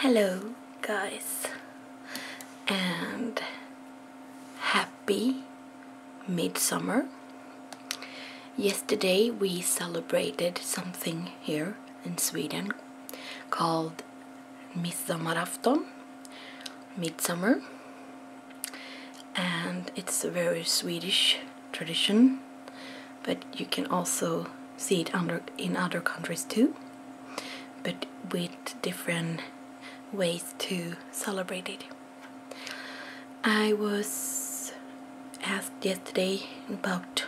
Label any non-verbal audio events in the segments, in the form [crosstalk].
Hello guys and happy midsummer. Yesterday we celebrated something here in Sweden called midsummer and it's very Swedish tradition, but you can also see it under, in other countries too, but with different ways to celebrate it. I was asked yesterday about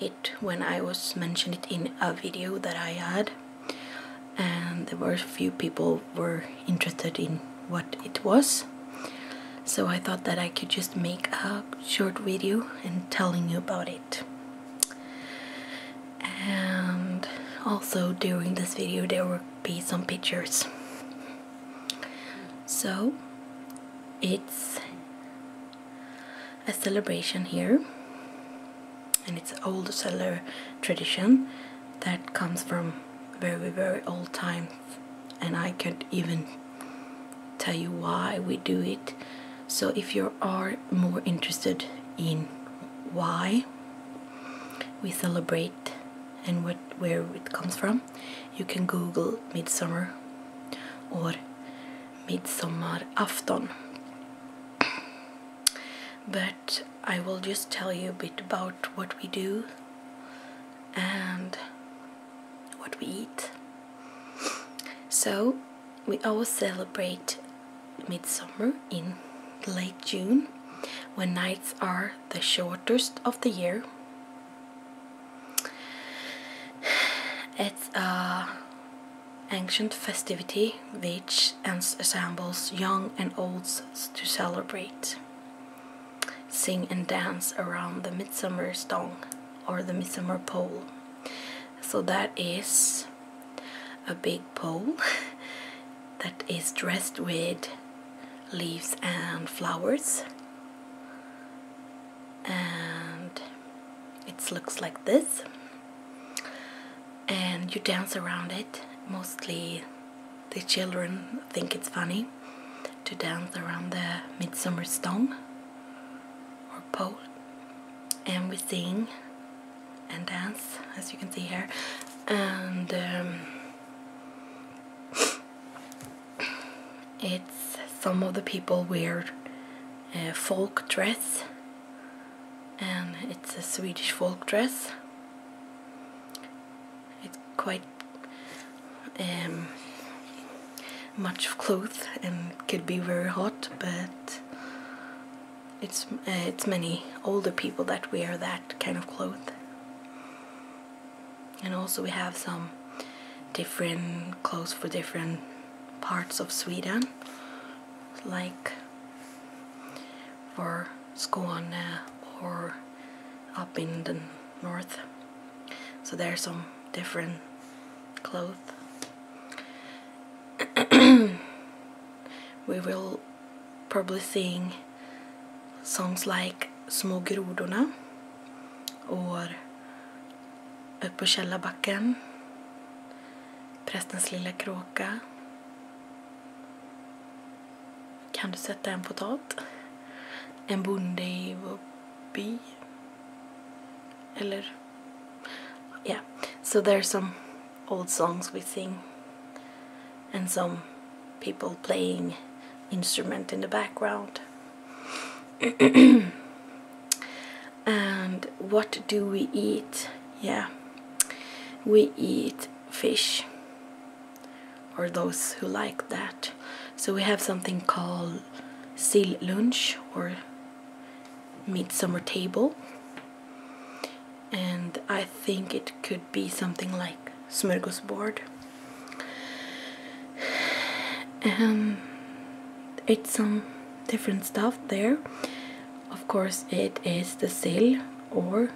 it when I was mentioned it in a video that I had and there were a few people were interested in what it was so I thought that I could just make a short video and telling you about it. And also during this video there will be some pictures. So it's a celebration here and it's old cellar tradition that comes from very very old time and I can't even tell you why we do it. So, if you are more interested in why we celebrate and what, where it comes from, you can Google Midsummer or Midsommarafton. But I will just tell you a bit about what we do and what we eat. So we always celebrate midsummer in late June when nights are the shortest of the year. It's a ancient festivity which ensembles young and olds to celebrate sing and dance around the midsummer stong or the midsummer pole. So that is a big pole [laughs] that is dressed with leaves and flowers. And it looks like this. And you dance around it. Mostly the children think it's funny to dance around the midsummer stone or pole and we sing and dance as you can see here and um, it's some of the people wear folk dress and it's a Swedish folk dress it's quite um, much of clothes and could be very hot, but it's uh, it's many older people that wear that kind of cloth. And also we have some different clothes for different parts of Sweden, like for Skåne or up in the north. So there's some different clothes. [clears throat] we will probably sing songs like Små grodorna or Upp på källarbacken Prästens lilla kråka Kan du sätta en potat? En Yeah, so there's some old songs we sing and some people playing instrument in the background. [clears throat] and what do we eat? Yeah, we eat fish or those who like that. So we have something called seal lunch or midsummer table. And I think it could be something like smorgasbord. And um, it's some different stuff there. Of course, it is the seal or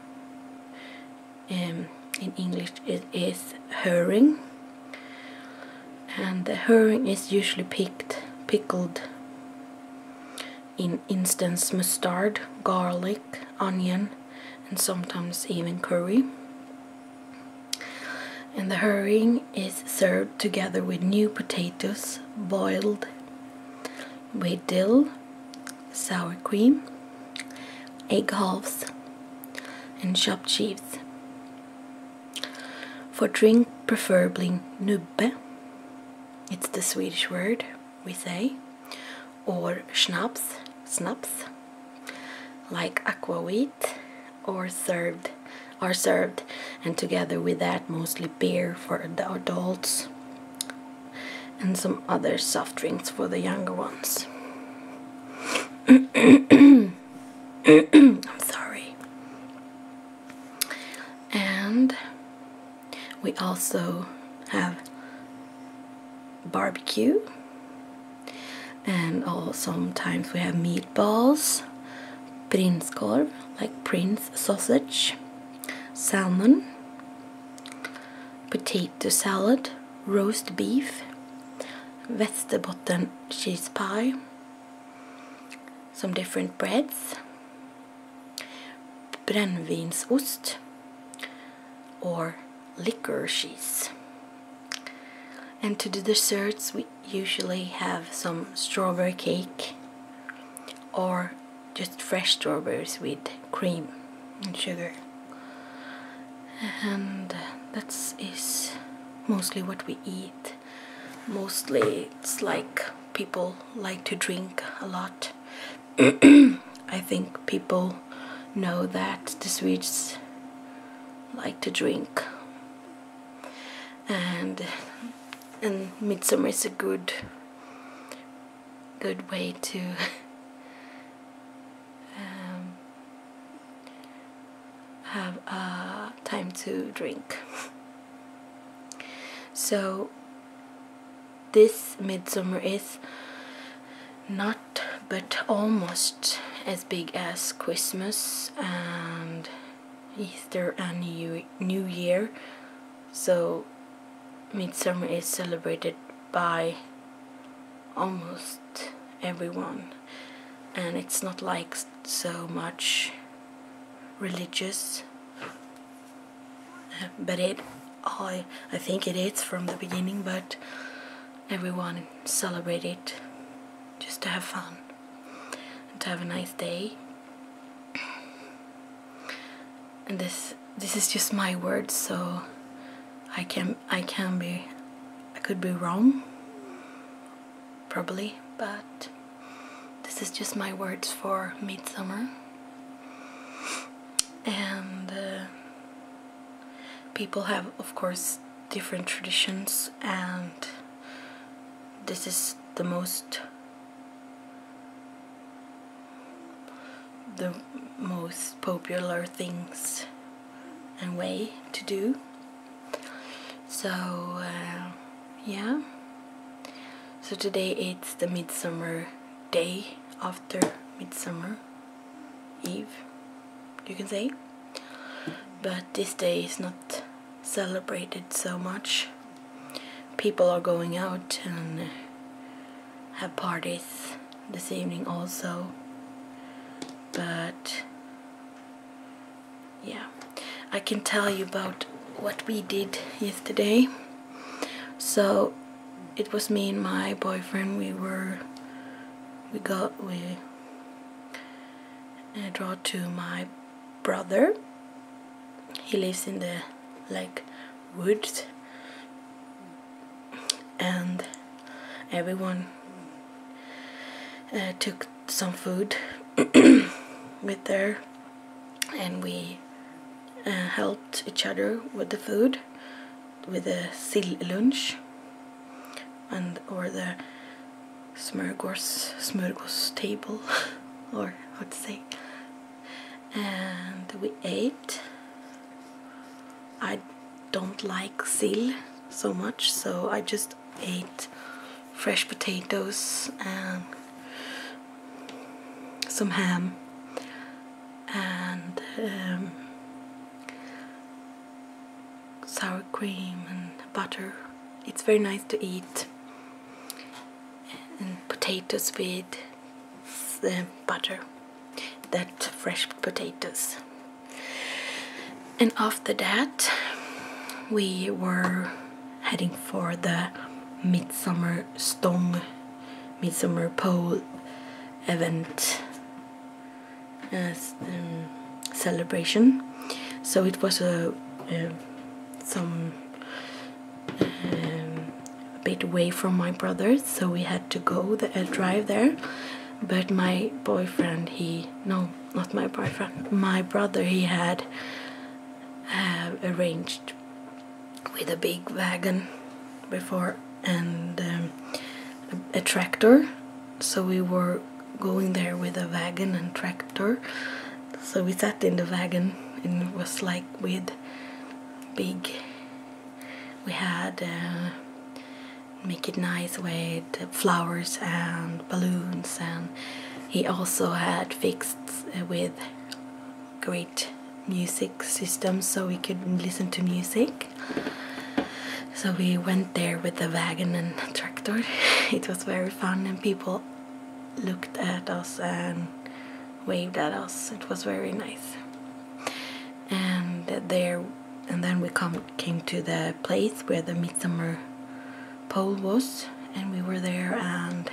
um, in English it is herring and the herring is usually pickled in instance mustard, garlic, onion and sometimes even curry and the herring is served together with new potatoes boiled with dill sour cream, egg halves, and chopped cheese. For drink, preferably nubbe, it's the Swedish word we say, or schnapps, snaps, like aquavit, or served, are served, and together with that, mostly beer for the adults and some other soft drinks for the younger ones. [coughs] sorry. And we also have barbecue and oh, sometimes we have meatballs, prinskorv, like prince sausage, salmon, potato salad, roast beef, Västerbotten cheese pie, some different breads, brännvinsost or liquor cheese. And to the desserts we usually have some strawberry cake or just fresh strawberries with cream and sugar and that is mostly what we eat mostly it's like people like to drink a lot [clears throat] I think people know that the Swedes like to drink and and midsummer is good good way to [laughs] um, have a time to drink. [laughs] so this midsummer is not but almost as big as Christmas and Easter and New Year so Midsummer is celebrated by almost everyone and it's not like so much religious uh, but it I I think it is from the beginning but everyone celebrate it just to have fun and to have a nice day this this is just my words so I can I can be I could be wrong probably but this is just my words for midsummer and uh, people have of course different traditions and this is the most the most popular things and way to do. So, uh, yeah. So today it's the midsummer day after midsummer eve, you can say. But this day is not celebrated so much people are going out and have parties this evening also but yeah I can tell you about what we did yesterday so it was me and my boyfriend we were we got we I uh, draw to my brother he lives in the like woods and everyone uh, took some food [coughs] with there, and we uh, helped each other with the food with the sill lunch and or the smörgås smörgås table [laughs] or Let's see, and we ate I don't like seal so much so I just ate fresh potatoes and some ham and um, sour cream and butter it's very nice to eat and potatoes with uh, butter that fresh potatoes and after that we were heading for the midsummer stong midsummer pole event as uh, um, celebration so it was a uh, some um, a bit away from my brother, so we had to go the uh, drive there. But my boyfriend, he no, not my boyfriend, my brother, he had uh, arranged with a big wagon before and um, a tractor, so we were going there with a wagon and tractor. So we sat in the wagon and it was like with big. We had uh, make it nice with flowers and balloons, and he also had fixed uh, with great music system so we could listen to music. So we went there with the wagon and tractor. [laughs] It was very fun, and people looked at us and waved at us. It was very nice. And there, and then we come came to the place where the midsummer pole was, and we were there and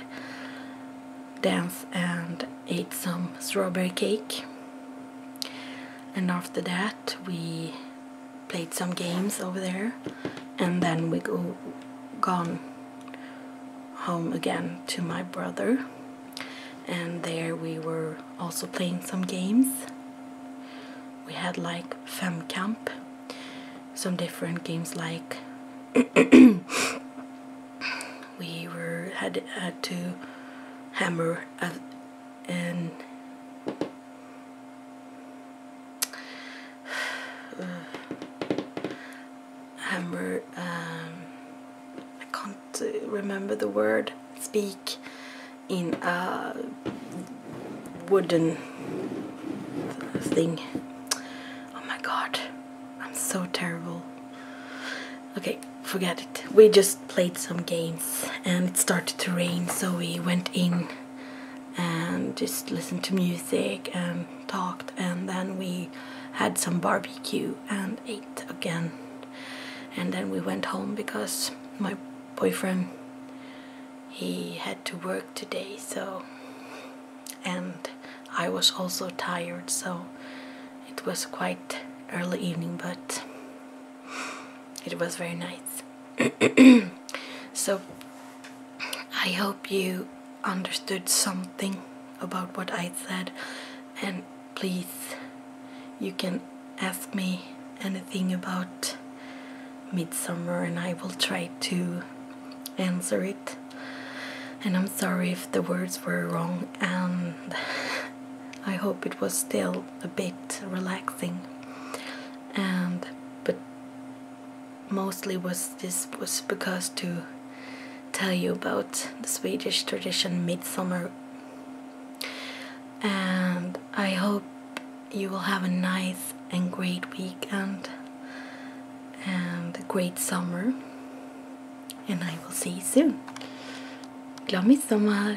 danced and ate some strawberry cake. And after that, we played some games over there and then we go gone home again to my brother and there we were also playing some games we had like camp, some different games like [coughs] we were had, had to hammer a, [sighs] hammer um, I can't remember the word speak in a wooden thing oh my god I'm so terrible okay forget it we just played some games and it started to rain so we went in and just listened to music and talked and then we had some barbecue and ate again and then we went home because my boyfriend he had to work today so and I was also tired so it was quite early evening but it was very nice. [clears throat] so I hope you understood something about what I said and please you can ask me anything about midsummer and I will try to answer it and I'm sorry if the words were wrong and [laughs] I hope it was still a bit relaxing and but mostly was this was because to tell you about the Swedish tradition midsummer and I hope you will have a nice and great weekend and a great summer and I will see you soon. Glad midsommar!